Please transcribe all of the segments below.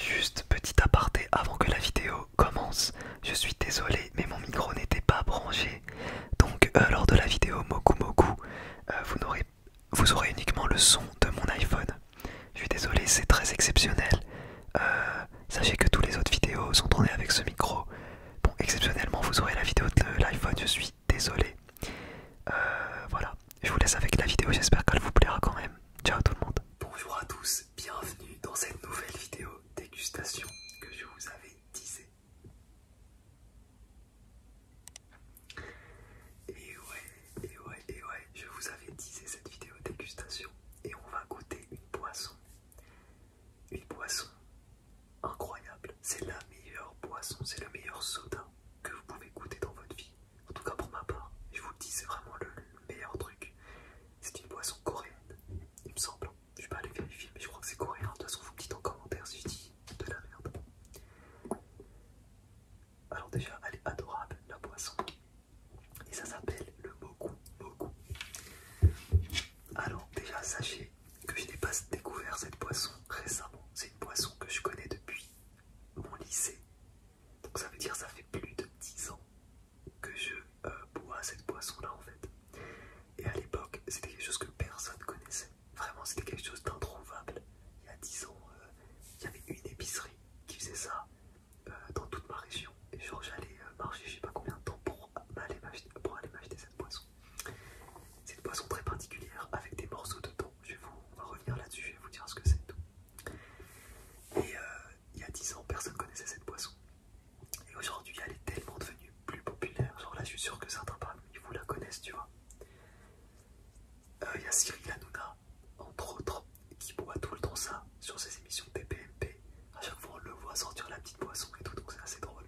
Juste petit aparté avant que la vidéo commence, je suis désolé mais mon micro n'était pas branché, donc euh, lors de la vidéo Moku Moku, euh, vous, aurez, uniquement le son de mon iPhone. Je suis désolé, c'est très exceptionnel. Euh, sachez que tous les autres vidéos sont tournées avec ce micro. Bon, exceptionnellement, vous aurez la vidéo de l'iPhone, je suis désolé. voilà, je vous laisse avec la vidéo, j'espère qu'elle vous plaira quand même. Ciao tout le monde. Bonjour à tous, bienvenue dans cette nouvelle vidéo dégustation que je vous avais disée. Et ouais, et ouais, et ouais, je vous avais disé cette vidéo dégustation et on va goûter une boisson. Une boisson incroyable, c'est la meilleure boisson, c'est le meilleur soda que vous pouvez goûter dans votre vie. En tout cas pour ma part, je vous le dis, c'est vraiment le, meilleur truc. C'est une boisson coréenne, il me semble. Je vais pas aller vérifier, mais je crois que c'est coréen. De toute façon, vous me dites en commentaire si je dis de la merde. Alors déjà, elle est adorable, la boisson. Et ça s'appelle le Moku Moku. Alors déjà, sachez que je n'ai pas découvert cette boisson récemment. C'est une boisson que je connais depuis mon lycée donc ça veut dire ça fait plus de 10 ans que je euh, bois cette boisson-là en fait. Et à l'époque, c'était quelque chose que personne connaissait. Vraiment, c'était quelque chose d'introuvable. Il y a 10 ans, euh, il y avait une épicerie qui faisait ça euh, dans toute ma région. Et genre, j'allais marcher, je sais pas combien de temps, pour aller m'acheter cette boisson. C'est une boisson très particulière avec des morceaux de thon. Je vais vous, revenir là-dessus, je vais vous dire ce que c'est tout. Et euh, il y a 10 ans, personne connaissait cette boisson. Et aujourd'hui, elle est tellement devenue plus populaire. Genre là, je suis sûr que certains parmi vous la connaissent, tu vois. Euh, il y a Cyril Hanouna, entre autres, qui boit tout le temps ça sur ses émissions TPMP. À chaque fois, on le voit sortir la petite boisson et tout, donc c'est assez drôle.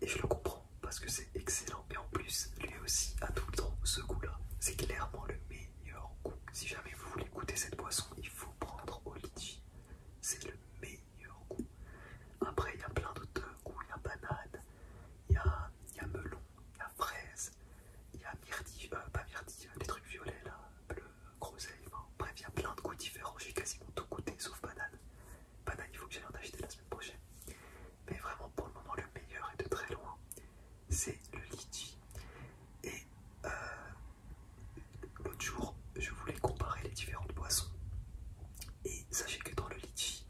Et je le comprends parce que c'est excellent. Mais en plus, lui aussi a tout le temps ce goût-là. C'est clairement le meilleur meilleur goût. Si jamais vous voulez goûter cette boisson, il faut prendre au C'est le meilleur goût. Après, il y a plein d'autres goûts. Il y a banane, il y a, melon, il y a fraise, il y a euh, pas myrtille, euh, des trucs violets là, bleu, groseille. bref, il y a plein de goûts différents. J'ai quasiment tout goûté sauf banane. Banane, il faut que j'aille en acheter la semaine prochaine. Mais vraiment, pour le moment, le meilleur est de très loin c'est le litchi. Et euh, l'autre jour, je voulais comparer les différentes boissons. Et sachez que dans le litchi,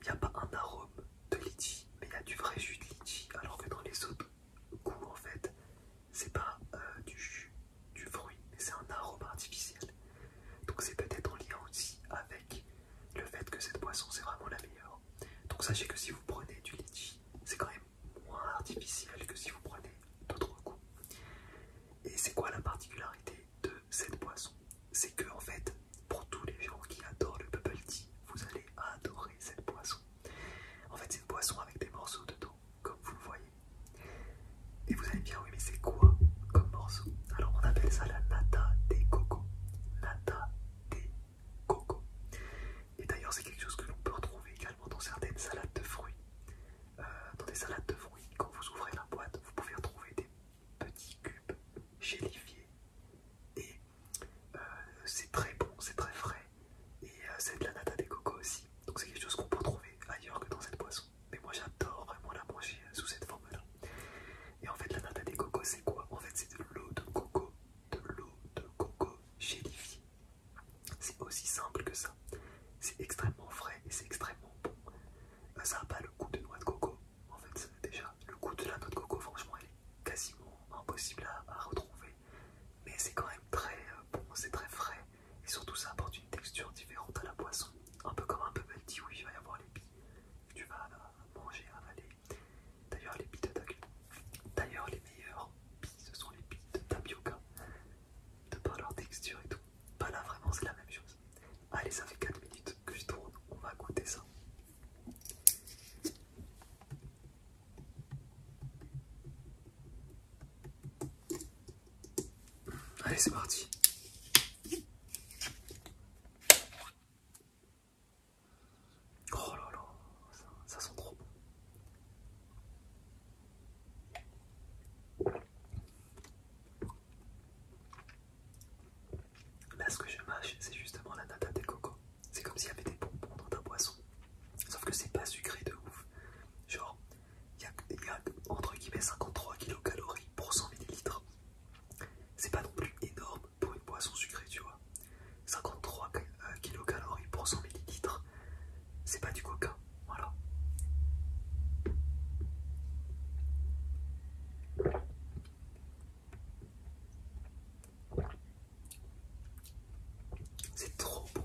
il n'y a pas un arôme de litchi, mais il y a du vrai jus de litchi. Alors que dans les autres goûts, en fait, c'est pas euh, du jus, du fruit, mais c'est un arôme artificiel. Donc c'est peut-être en lien aussi avec le fait que cette boisson c'est vraiment la meilleure. Donc sachez que si vous prenez du litchi, c'est quand même moins artificiel que si vous prenez d'autres goûts. Et c'est quoi la particularité de cette boisson C'est que en fait, pour tous les gens qui adorent le bubble tea, vous allez adorer cette boisson. En fait, c'est une boisson avec des morceaux de dos comme vous le voyez. Et vous allez bien dire, oui, mais c'est quoi comme morceau Alors, on appelle ça la nata des cocos. Nata des coco. Et d'ailleurs, c'est quelque chose que l'on peut retrouver également dans certaines salades de fruits. Euh, dans des salades de fruits, quand vous ouvrez la boîte, vous pouvez retrouver des petits cubes gélifiés. Et euh, c'est très bon, c'est très frais. Et euh, c'est de la nata des coco aussi. Donc c'est quelque chose qu'on peut trouver ailleurs que dans cette boisson. Mais moi j'adore vraiment la manger sous cette forme-là. Et en fait, la nata des cocos, c'est quoi En fait, c'est de l'eau de coco, de l'eau de coco gélifiée. C'est aussi simple que ça. C'est extrêmement frais et c'est extrêmement bon. Euh, ça n'a pas le goût de noix de coco. En fait, déjà, le goût de la noix de coco, franchement, elle est quasiment impossible à, retrouver. Mais c'est quand même très euh, bon, c'est très frais. Et surtout, ça apporte une texture différente à la boisson. Un peu comme un bubble tea, oui, il va y avoir les billes tu vas manger, avaler. D'ailleurs, les billes de ta... D'ailleurs, les meilleurs, billes, ce sont les billes de tapioca, de par leur texture et tout. Bah là, vraiment, c'est la même chose. Allez, ça fait 4 minutes que je tourne, on va goûter ça. Allez, c'est parti. Oh là là, ça, sent trop bon. Là, ce que je mâche, c'est justement la nata de coco. C'est comme s'il y avait des bonbons dans ta boisson. Sauf que c'est pas sucré de ouf. Genre, il y, a entre guillemets 53 kcal pour 100 ml. C'est pas non plus énorme, pour une boisson sucrée, tu vois. 53 euh, kilocalories pour 100 millilitres. C'est pas du coca, voilà. C'est trop bon.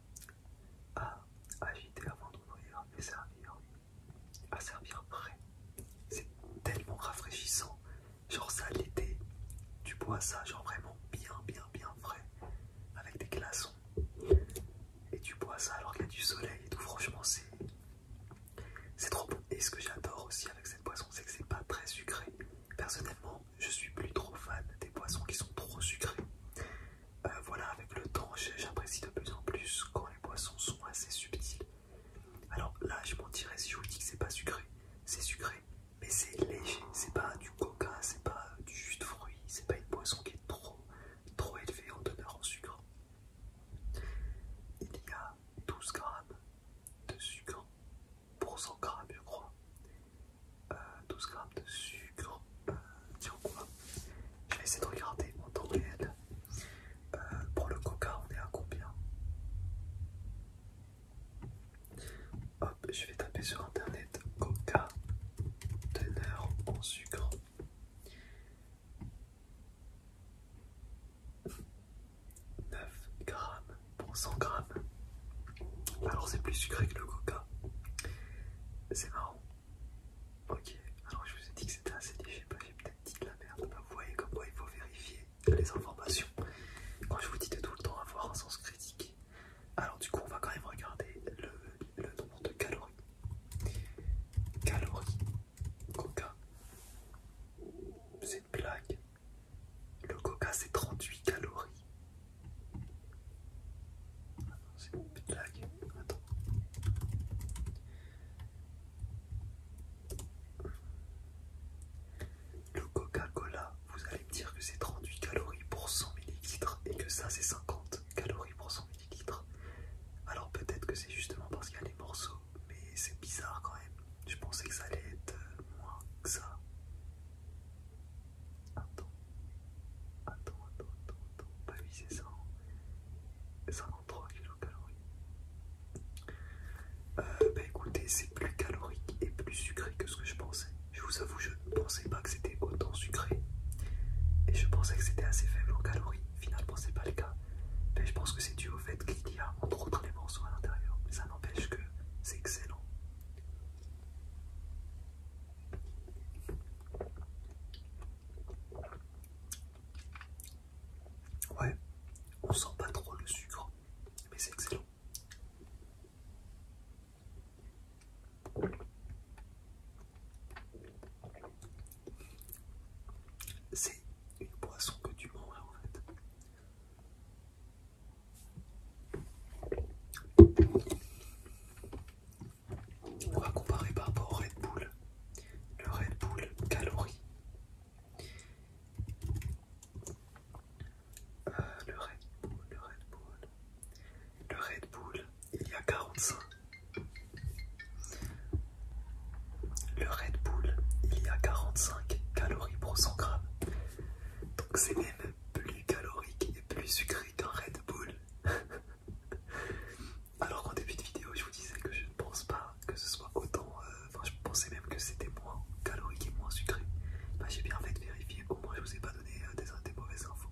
à agiter avant d'ouvrir et servir à servir frais C'est tellement rafraîchissant. Genre ça l'été, tu bois ça genre vraiment bien bien bien frais avec des glaçons et tu bois ça alors qu'il y a du soleil et tout franchement c'est c'est trop bon. Et ce que j'adore aussi avec cette boisson c'est que c'est pas très sucré. Personnellement je suis plus trop fan des boissons qui sont trop sucrées. Euh, voilà, avec le temps, j'apprécie de plus en plus quand les boissons sont assez subtiles. Alors là, je mentirais si je vous dis que c'est pas sucré. C'est sucré, mais c'est léger. C'est pas du coca, c'est pas euh, du jus de fruits, c'est pas une boisson qui est trop, trop élevée en teneur en sucre. Il y a 12 grammes de sucre pour 100 grammes, je crois. 12 euh, grammes de sucre, euh, quoi Je vais essayer de regarder en temps réel. Euh, pour le coca, on est à combien Hop, je vais taper sur internet coca teneur en sucre. 9 grammes pour 100 grammes alors c'est plus sucré que le coca. C'est marrant. Ok, alors je vous ai dit que c'était assez léger, j'ai peut-être dit de la merde. Bah, vous voyez comme il faut vérifier les informations. Quand je vous dis de tout le temps avoir un sens critique. Alors du coup on va quand même regarder le, le nombre de calories. Calories. Coca. C'est une blague. Le coca c'est 38 calories. C'est Le Coca-Cola, vous allez me dire que c'est 38 calories pour 100 millilitres et que ça c'est 50 calories pour 100 millilitres. Alors peut-être que c'est justement parce qu'il y a les morceaux, mais c'est bizarre quand même. Je pensais que ça allait être euh, moins que ça. Attends, attends, attends, attends, attends. va ça. c'est kilocalories. écoutez, c'est plus calorique et plus sucré que ce que je pensais. Je vous avoue, je ne pensais pas que c'était autant sucré. Et je pensais que c'était assez faible en calories. Finalement, n'est pas le cas. Mais je pense que c'est dû au fait qu'il y a entre autres les morceaux à l'intérieur. Mais ça n'empêche que c'est excellent. Ouais, on sent pas trop le sucre, mais c'est excellent. C'est une boisson que tu manges en fait. On va comparer par rapport au Red Bull. Le Red Bull calories. Euh, le Red Bull, le Red Bull. Le Red Bull, il y a 45. Le Red Bull, il y a 45 calories pour 100 grammes. Donc c'est même plus calorique et plus sucré un Red Bull. Alors qu'en début de vidéo, je vous disais que je ne pense pas que ce soit autant. Euh, enfin, je pensais même que c'était moins calorique et moins sucré. Bah, j'ai bien fait de vérifier. Au moins, je vous ai pas donné euh, des mauvaises infos.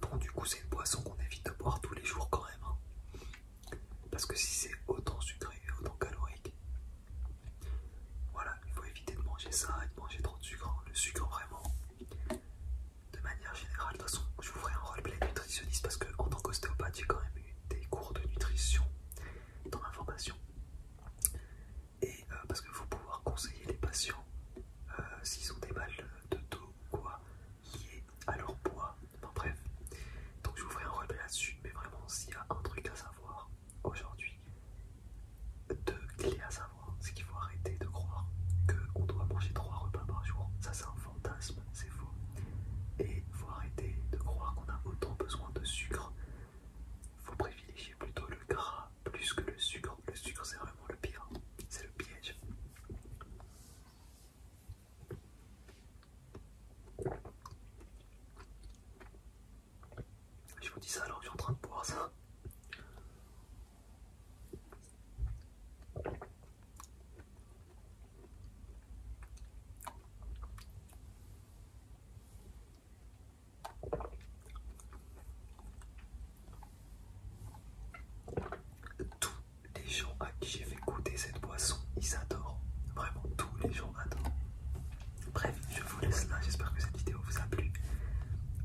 Bon, du coup, c'est une boisson qu'on évite de boire tous les jours quand même. Hein. Parce que si c'est autant sucré et autant calorique, voilà, il faut éviter de manger ça et de manger trop de sucre. Hein. Le sucre, vraiment, de manière générale, de toute façon, je vous ferai un roleplay nutritionniste parce que, en tant qu'ostéopathe, j'ai quand même eu des cours de nutrition dans ma formation. Et euh, parce que vous pouvoir conseiller les patients euh, s'ils ont des balles de dos quoi est, alors bois. bref. Donc je vous ferai un repas là-dessus, mais vraiment s'il y a un truc à savoir aujourd'hui, deux clés à savoir, c'est qu'il faut arrêter de croire qu'on doit manger trois repas par jour. Ça c'est un fantasme, c'est faux. Et il faut arrêter de croire qu'on a autant besoin de sucre. faut privilégier plutôt le gras plus que le sucre le sucre, c'est vraiment le pire. C'est le piège. Je vous dis ça alors je suis en train de boire ça. Tous les gens à qui j'ai fait goûter cette boisson, ils adorent. Vraiment, tous les gens adorent. Bref, je vous laisse là. J'espère que cette vidéo vous a plu.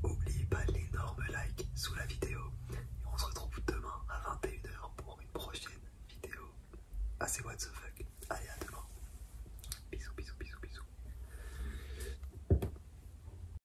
N'oubliez pas l'énorme like sous la vidéo. Et on se retrouve demain à 21h pour une prochaine vidéo. Assez what the fuck. Allez, à demain. Bisous, bisous, bisous, bisous.